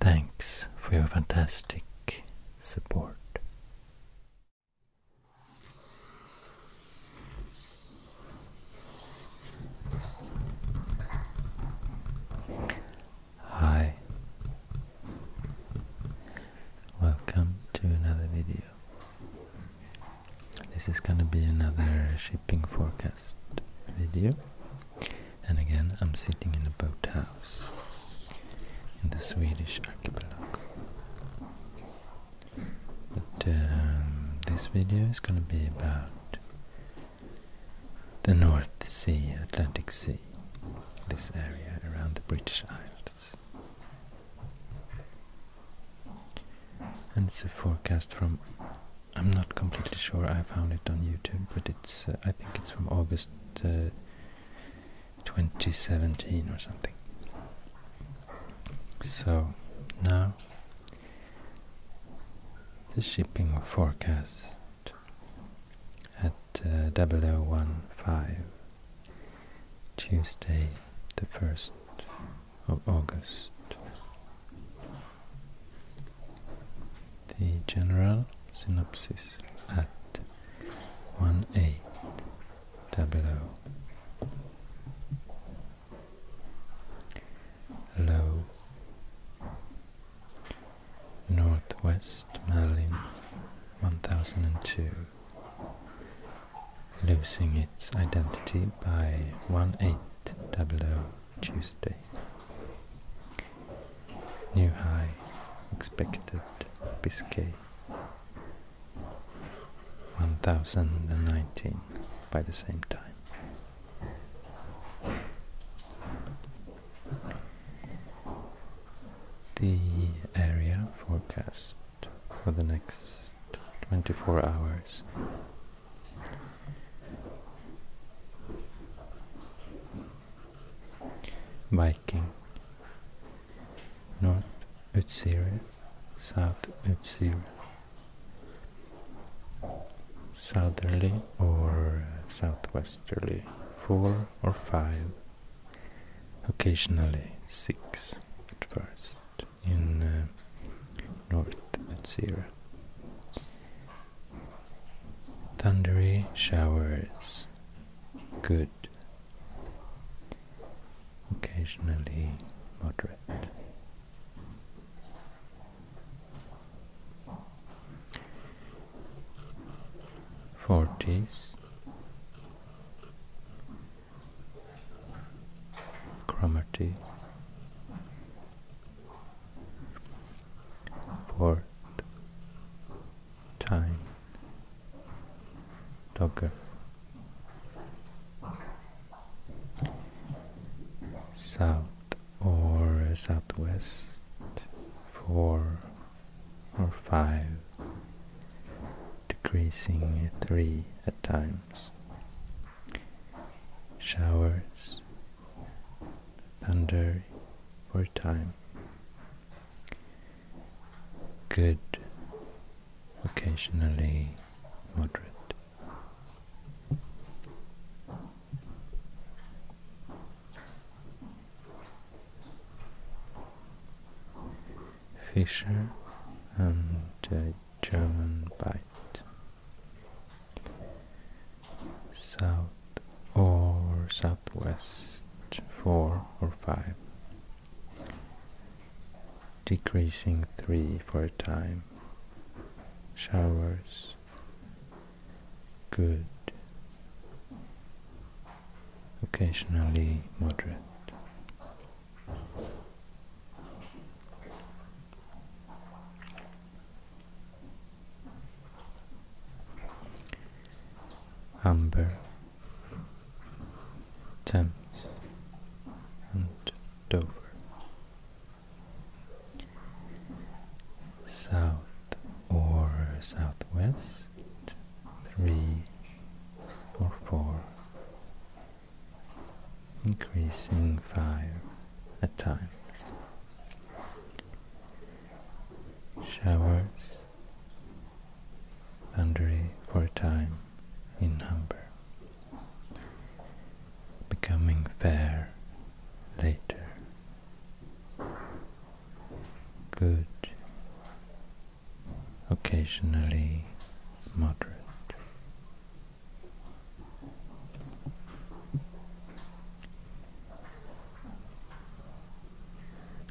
Thanks for your fantastic support. Hi, welcome to another video. This is gonna be another shipping forecast video. And again, I'm sitting in a boat house in the Swedish archipelago. But um, this video is going to be about the North Sea, Atlantic Sea, this area around the British Isles. And it's a forecast from I'm not completely sure. I found it on YouTube, but it's uh, I think it's from August uh, 2017 or something. So now the shipping forecast at uh, 0015 Tuesday the 1st of August the general synopsis at 1800. Low Northwest Merlin 1002 losing its identity by 1800 Tuesday. New high expected Biscay 1019 by the same time. The area forecast for the next 24 hours Viking North Utsira, South Utsira, Southerly or Southwesterly, four or five, occasionally six at first in uh, North Utsira. Thundery showers. Good. Occasionally moderate. Forties. Cromarty for time Docker south or southwest four or five decreasing at three at times showers thunder for time. Good, occasionally moderate. Fisher and uh, German bite south or southwest 4 or 5 decreasing 3 for a time showers good occasionally moderate Amber, Thames, and Dover, south or southwest, three or four, increasing five at times showers, Thundry for a time in number, becoming fair later, good occasionally moderate.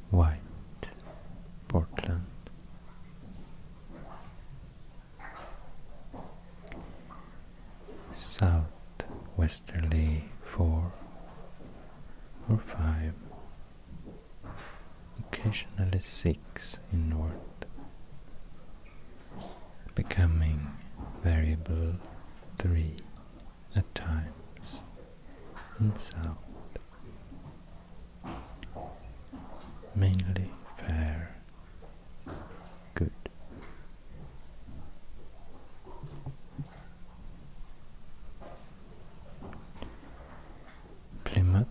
White, Portland, southwesterly Westerly four or five, occasionally six in north, becoming variable three at times in south, mainly fair, good. Plymouth,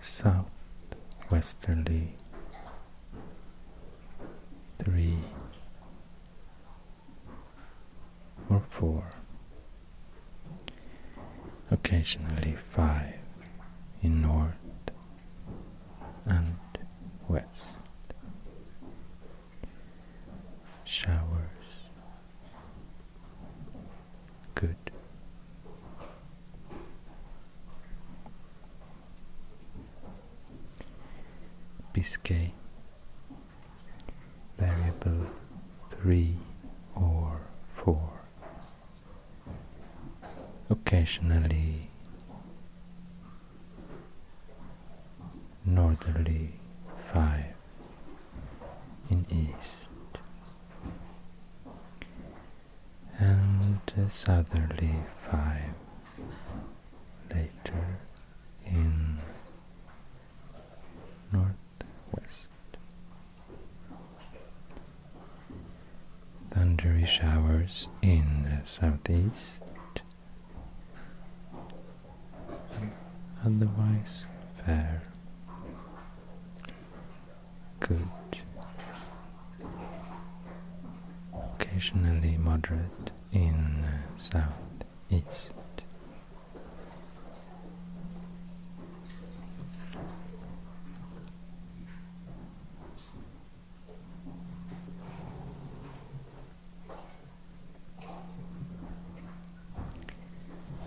southwesterly, three, or four, occasionally five in north and west. Showers good. Biscay variable 3 or 4 occasionally northerly 5 in east and uh, southerly 5 later in northwest. Thundery showers in the southeast. Otherwise, fair. Good. Occasionally moderate in uh, southeast.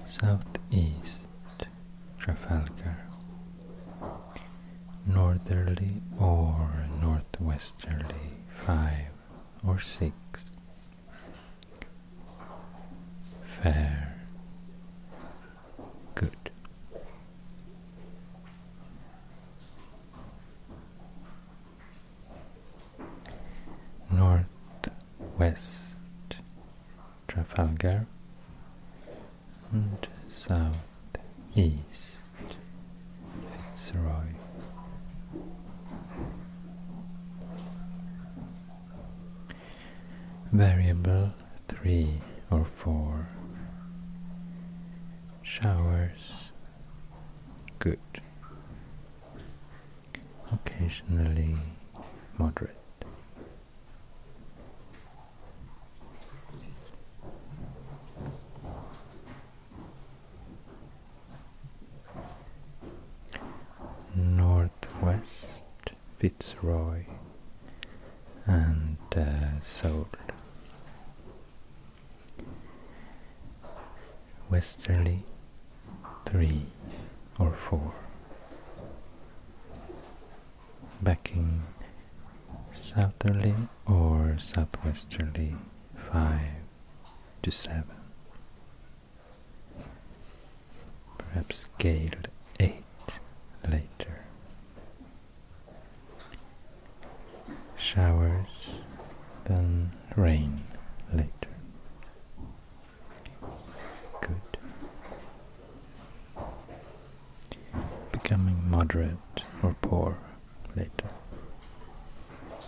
Southeast Trafalgar, northerly or northwesterly five or six. Fair. Good. North west Trafalgar and south east Sarai. Variable 3 or 4. Showers. Good. Occasionally moderate. Northwest Fitzroy and uh, Westerly three or four. Backing southerly or southwesterly five to 7. Perhaps Gale 8 later. Showers, then rain later. Good. Becoming moderate or poor later.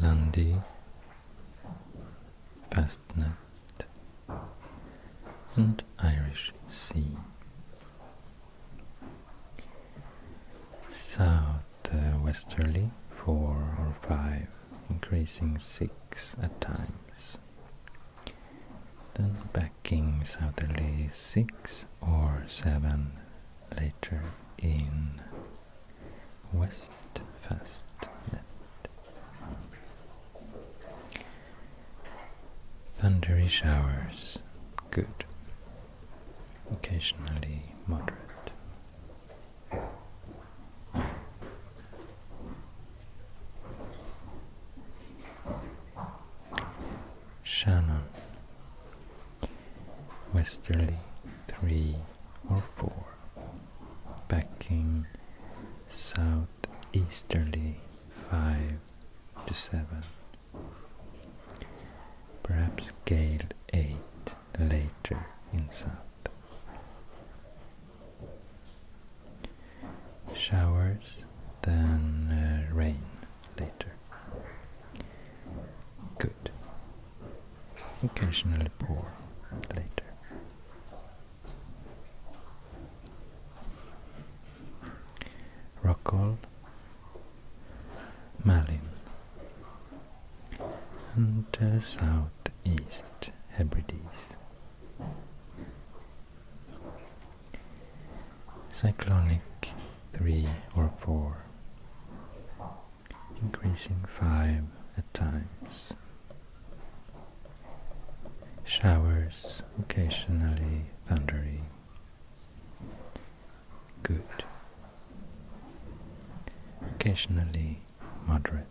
Lundy, Fastnet, and Irish Sea. Southwesterly four or five, increasing six at times. Then backing southerly six or seven later in Westfastnet. Thundery showers, good. Occasionally moderate. Shannon, Westerly 3 or 4, backing southeasterly 5 to 7, perhaps gale 8 later in south. Showers, then uh, rain later. Good. Occasionally poor. later. Rockall, Malin, and uh, Southeast Hebrides. Cyclonic 3 or 4 increasing 5 at times. Showers occasionally thundery. Good. Occasionally moderate.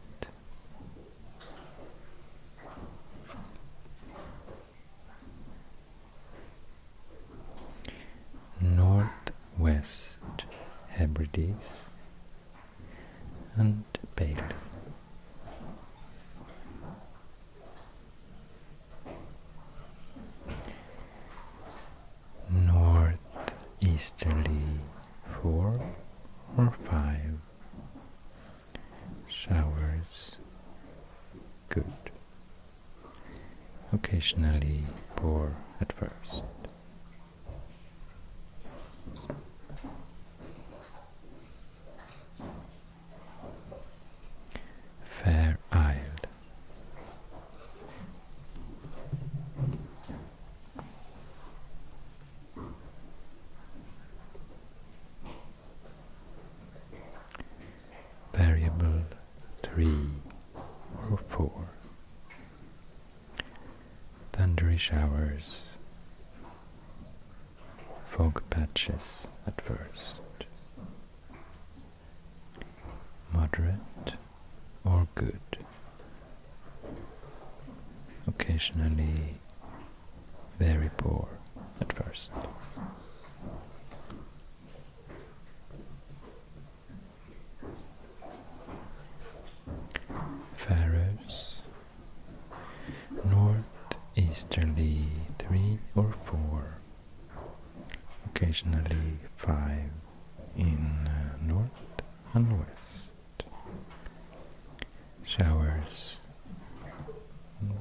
Northwest Hebrides and Bailey. Northeasterly four or five showers good occasionally poor at first. Fair Isle Variable three or four Thundery showers, fog patches at first, moderate or good, occasionally very poor at first. Faroes northeasterly three or four, occasionally five in uh, north and west. Showers and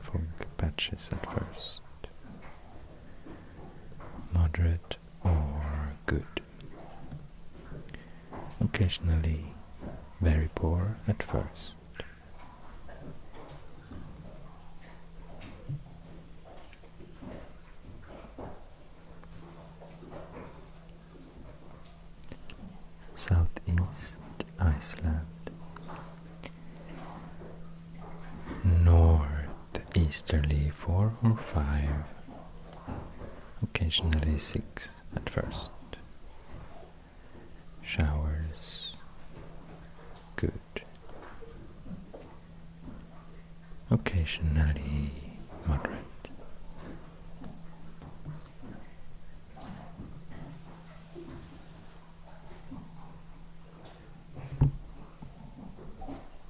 fog patches at first. Moderate or good. Occasionally very poor at first. Southeast Iceland, North the easterly four or five, occasionally six at first. Showers, good. Occasionally moderate.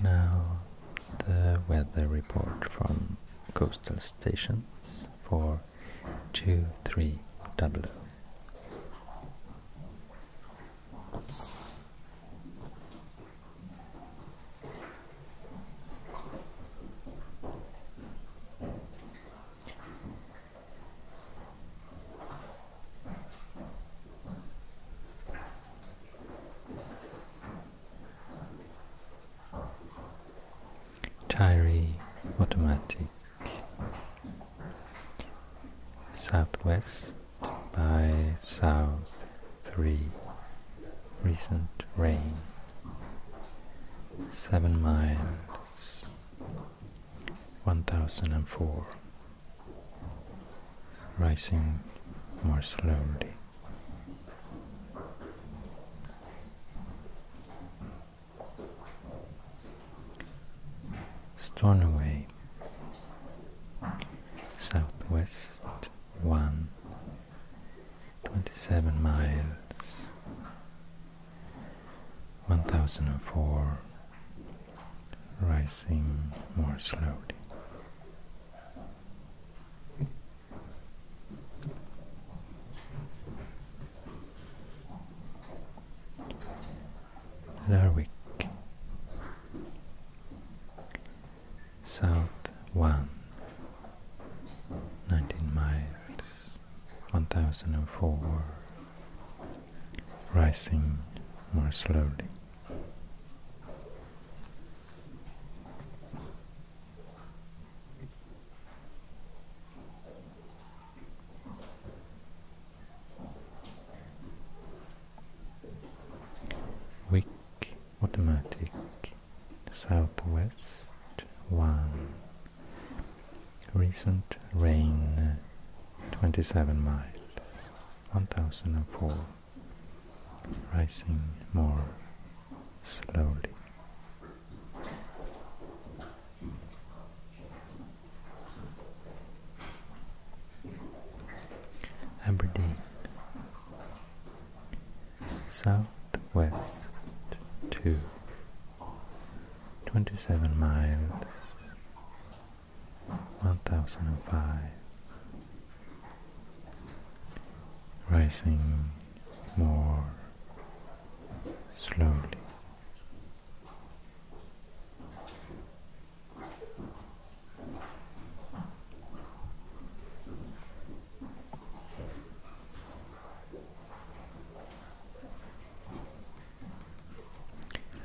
Now, the weather report from coastal stations for 2300. Tyree Automatic Southwest by South 3 Recent rain 7 miles 1004 Rising more slowly Stornoway, southwest one, twenty-seven miles, one thousand and four, rising more slowly. Larwick, South 1, 19 miles, 1004, rising more slowly. Wick automatic southwest 1 recent rain 27 miles 1004 rising more slowly Aberdeen, southwest to 27 miles, 1005, rising more slowly.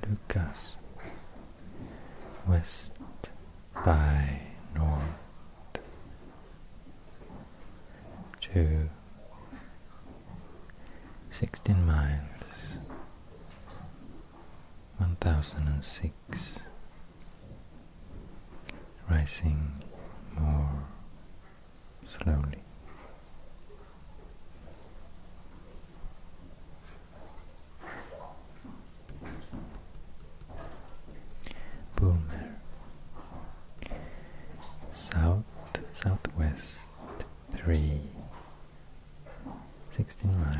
Lucas West by North to 16 miles 1006 rising more slowly Boomer south, southwest, 3, 16 miles,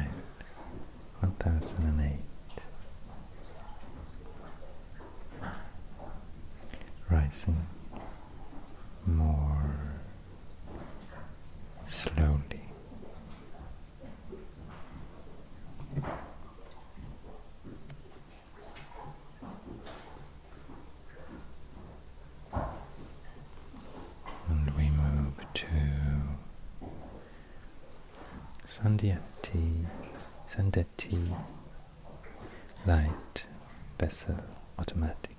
1008. Rising more slowly. And we move to Sandiati, Sandetti Light Vessel Automatic.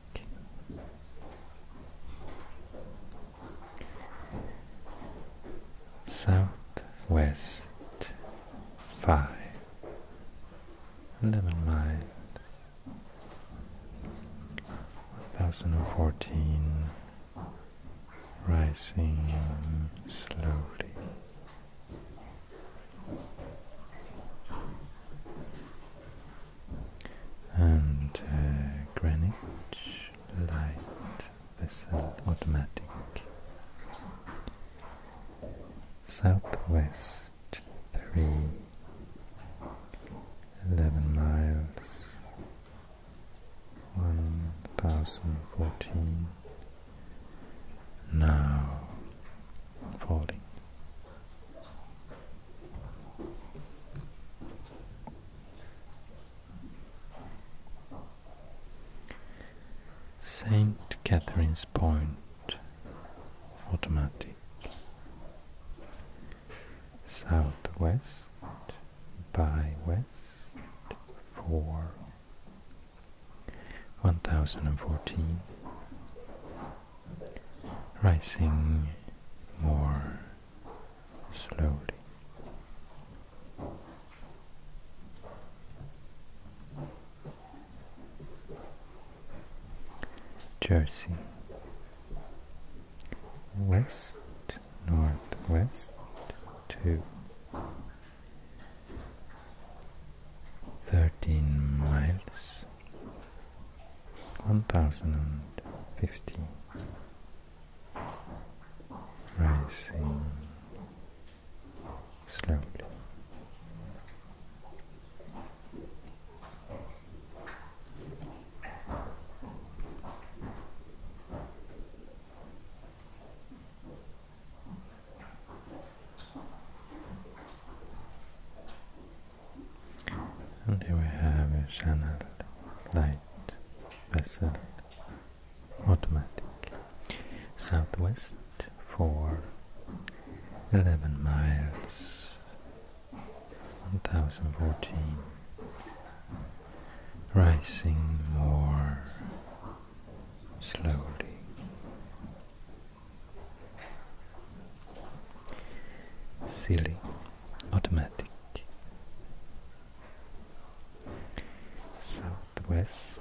Southwest five. Never mind. 1014 rising slowly. And uh, Greenwich light vessel automatic southwest three eleven miles, 1014, now falling. St. Catherine's Point, automatic. Southwest by west for 1014. Rising more slowly. Jersey West Northwest thirteen miles one thousand and fifty rising slowly. And here we have a channel light vessel automatic southwest for 11 miles 1014 rising more slowly silly automatic southwest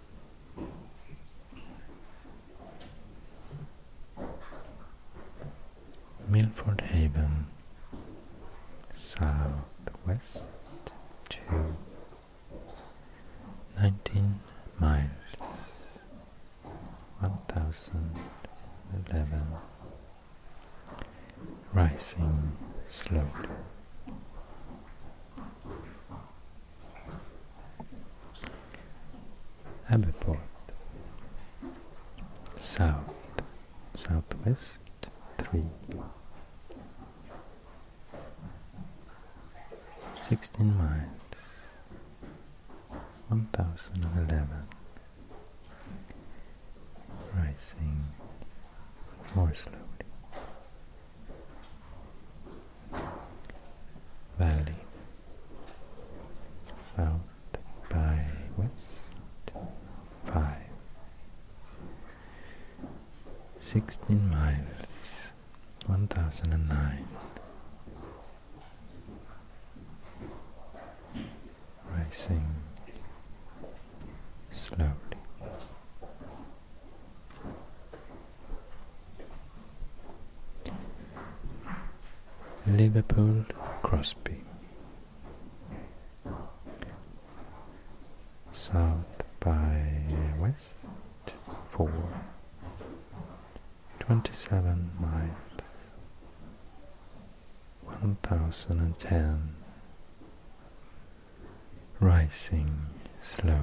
Milford Haven, southwest to 19 miles, 1011, rising slowly. Abbeport South Southwest three sixteen miles one thousand and eleven rising more slowly valley south by west Sixteen miles one thousand and nine rising slowly Liverpool Crosby South by West 4 27 miles 1010 rising slowly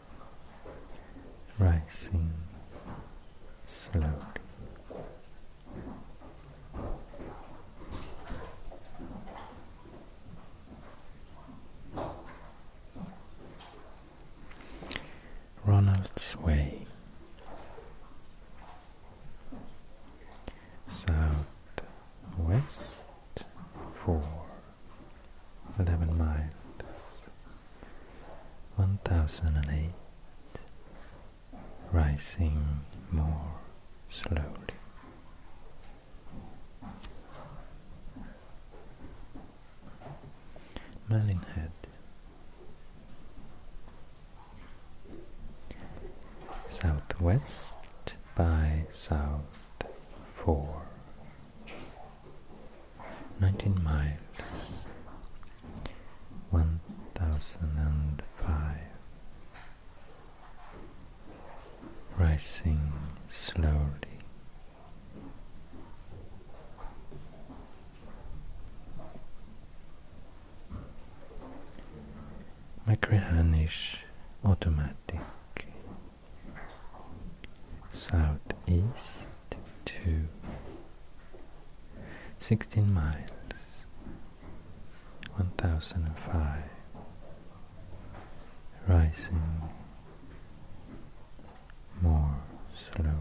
rising slowly. Ronald's Way, southwest for 11 miles 1008 rising more slowly. Malinhead southwest by south four 19 miles, 1005, rising slowly. Makrihanish automatic southeast to 16 miles, 1005, rising more slowly.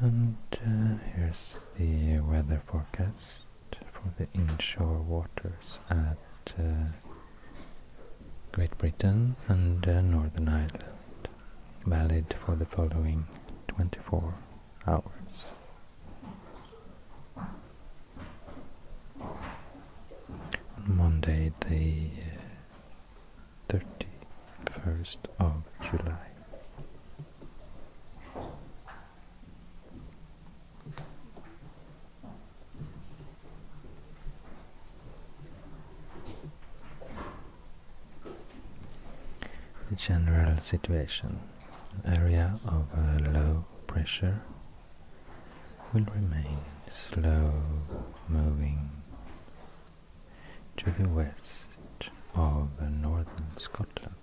And uh, here's the weather forecast for the inshore waters at uh, Great Britain and uh, Northern Ireland, valid for the following 24 hours. Monday, the uh, thirty-first of July. The general situation, area of a uh, low pressure will remain slow-moving to the west of northern Scotland,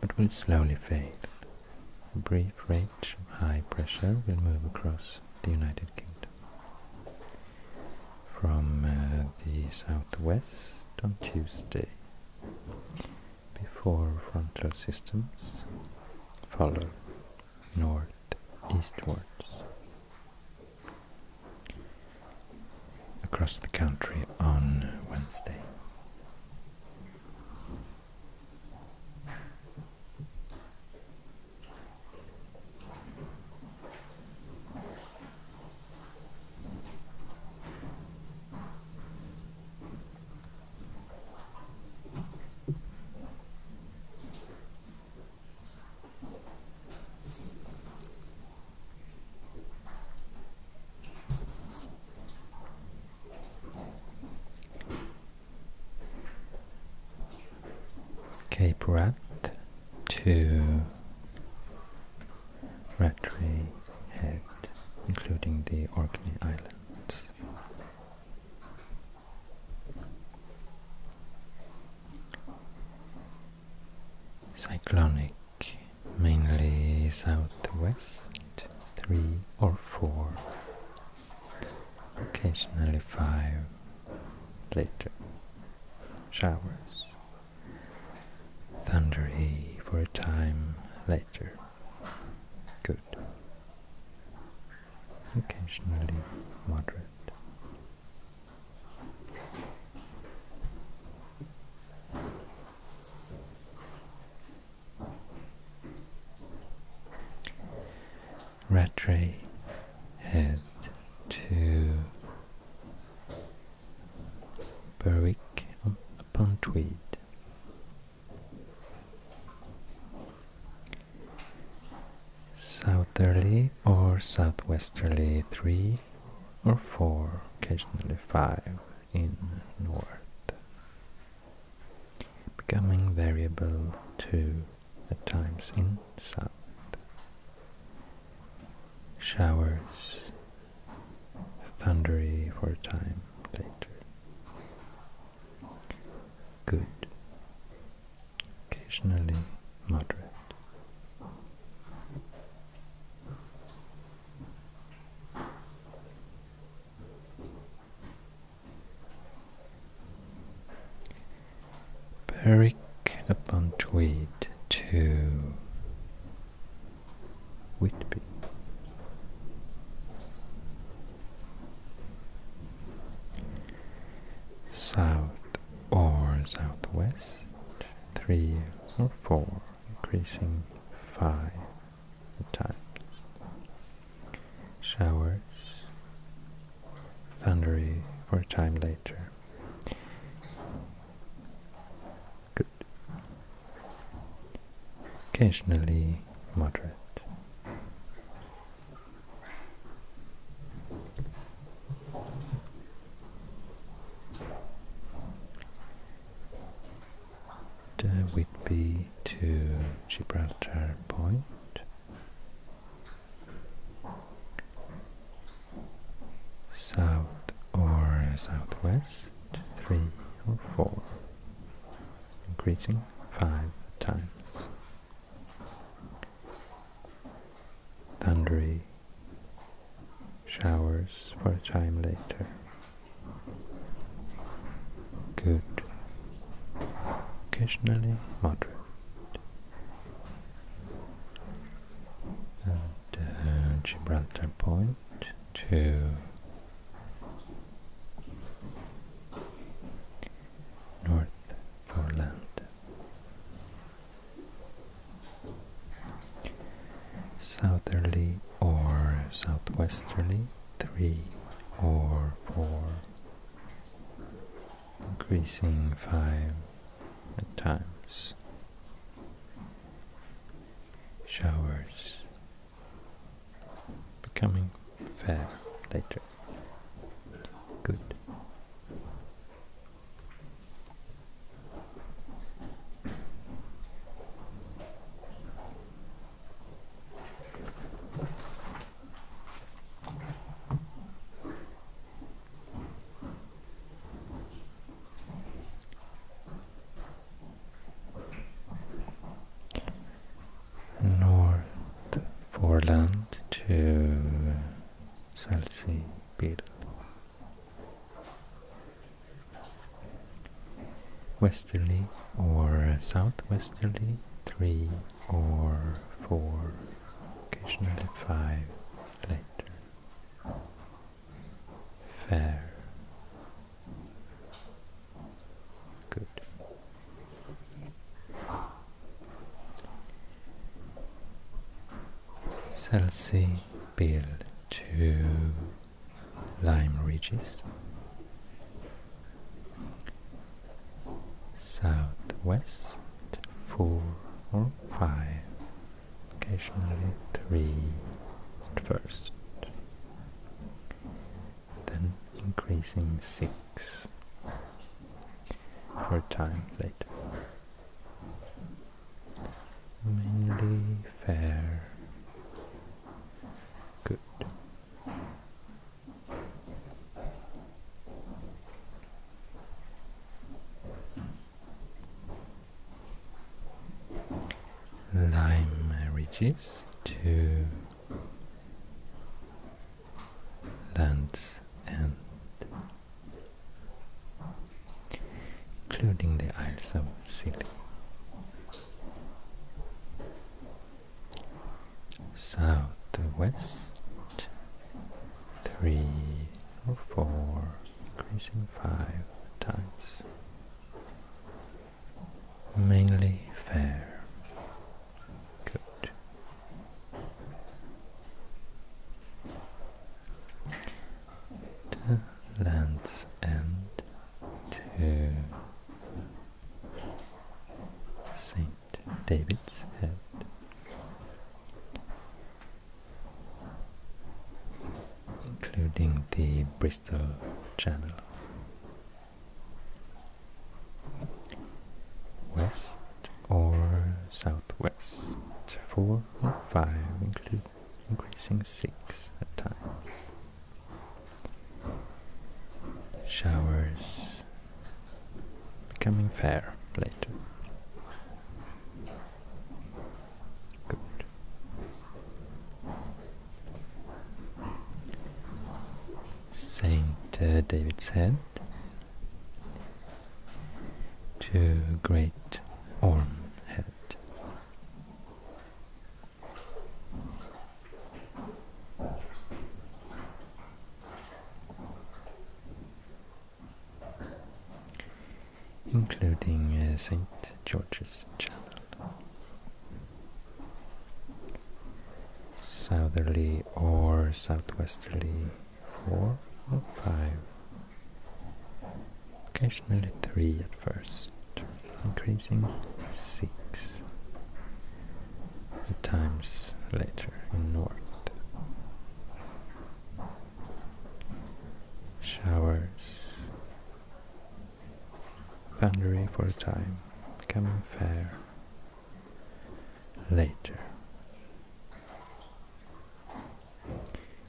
but will slowly fade. A brief range of high pressure will move across the United Kingdom from uh, the southwest on Tuesday before frontal systems follow north eastwards. Across the country on Wednesday. Okay, Rat Two. Rattray Head, including the Orkney Islands. Cyclonic, mainly south-west, three or four, occasionally five later. Showers. Thundery for a time later. Good. Occasionally moderate. Rattray head to Berwick upon Tweed Southerly or southwesterly 3 or 4, occasionally 5 in north, becoming variable 2 at times in south. Showers thundery for a time later. Good. Occasionally moderate. Berwick upon Tweed to Whitby. South or southwest, three or four, increasing five times. Showers, thundery for a time later. Good occasionally moderate. The Whitby to Gibraltar Point. South or southwest, three or four increasing five times. Thundery showers for a time later. Good. Occasionally moderate. And uh, Gibraltar Point two, North Foreland. Southerly or southwesterly, three or four, increasing five at times. Showers becoming fair later. Good. North Forland to Salsi Bill. Westerly or southwesterly, three or four, occasionally five later. Fair Good. Salsi build two lime ridges southwest four or five occasionally three at first then increasing 6 for a time later. Mainly fair. Good. Lime ridges to Land's End, including the Isles of Scilly. south west, three or four, increasing five times mainly fair. Good. land's end to Saint David's Head. Including the Bristol Channel West or southwest, 4 or 5, include, increasing 6 at times. Showers becoming fair later. Good. Saint uh, David's Head to Great Orme Head. including uh, St. George's Chapel southerly or southwesterly four or five occasionally three at first increasing six times later in north showers thundery for a time, becoming fair later.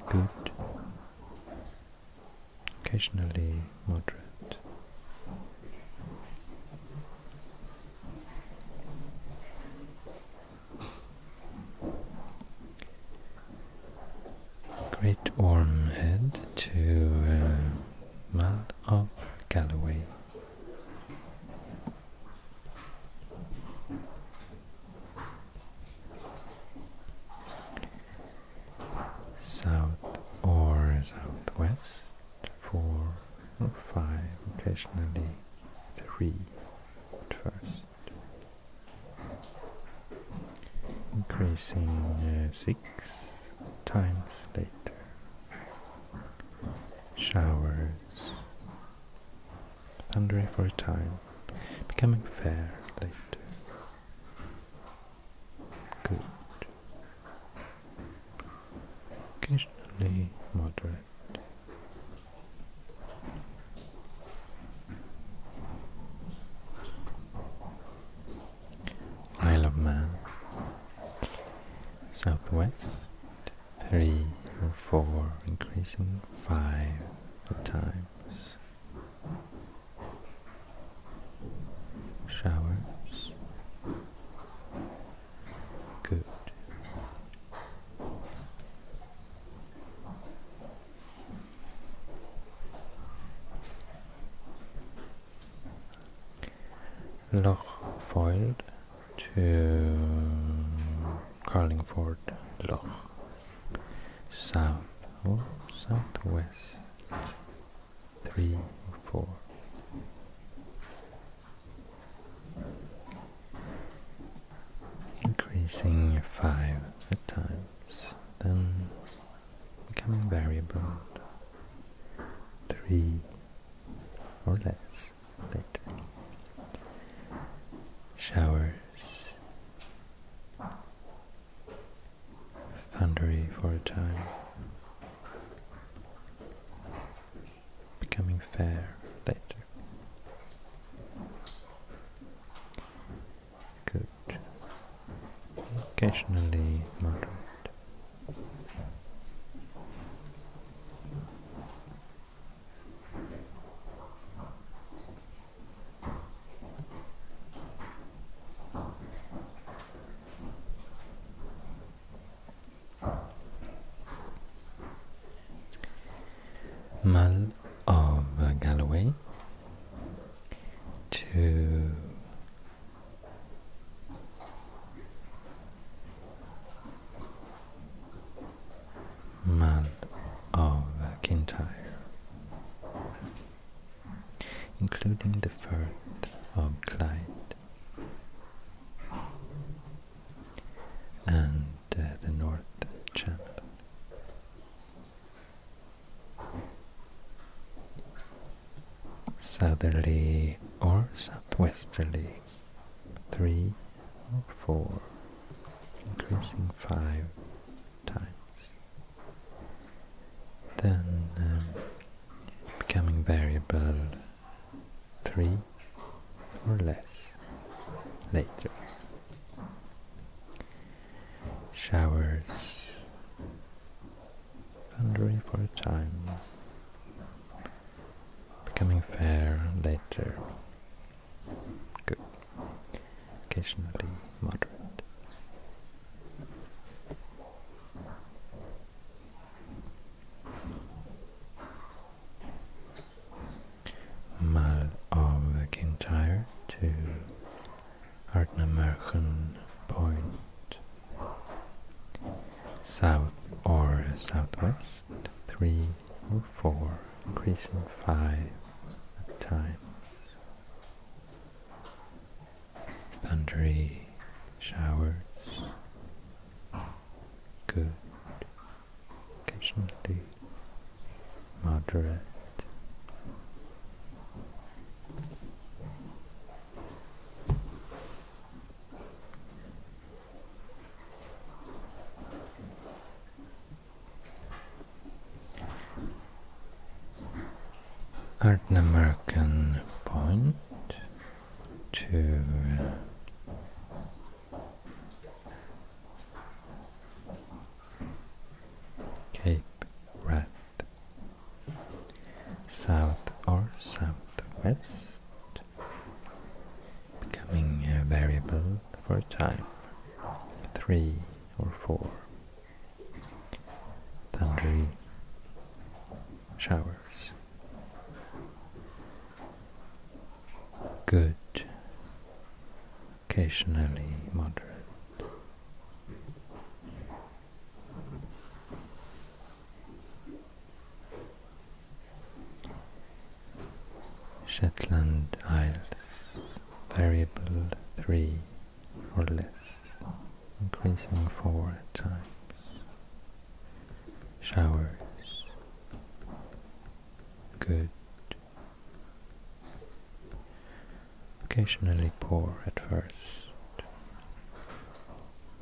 Good, occasionally moderate. Great warm Head to uh, Man of Galloway. South or southwest, four oh, five, occasionally three at first, increasing uh, six times later. Showers thundering for a time, becoming fair later. Good. Occasionally moderate. Isle of Man, southwest, three or four, increasing five at times. Showers, good. Loch Foyle to Carlingford Loch, south or oh, southwest, three or four. Increasing five at times, then becoming variable, three or less later. Showers, thundery for a time, becoming fair later. Good. Occasionally moderate. Mal of Galloway to Man of Kintyre, including the Firth of Clyde and uh, the North Channel southerly or southwesterly, three or four, increasing five times. Then um, becoming variable three or less later. Showers thundering for a time, becoming fair later, occasionally moderate. Mal to Artnamerchen Point south or southwest, three or four, increasing five at a time. Thundery showers, good, occasionally moderate. Art American point to Cape Wrath, south or southwest becoming a uh, variable for a time, three or four thunder showers. Good, occasionally moderate. Shetland Isles, variable 3 or less, increasing 4 times. Showers, good. Occasionally poor at first.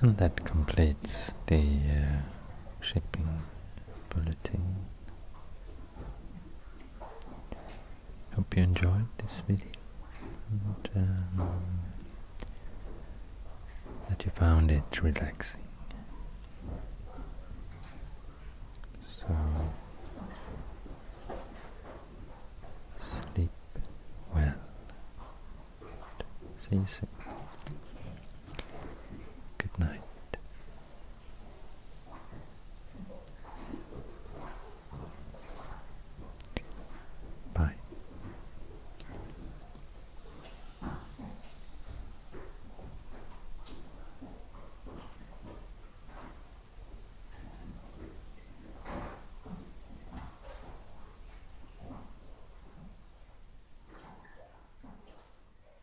and that completes the uh, shipping bulletin. Hope you enjoyed this video and um, that you found it relaxing. So sleep well. See you soon. Good night. Bye.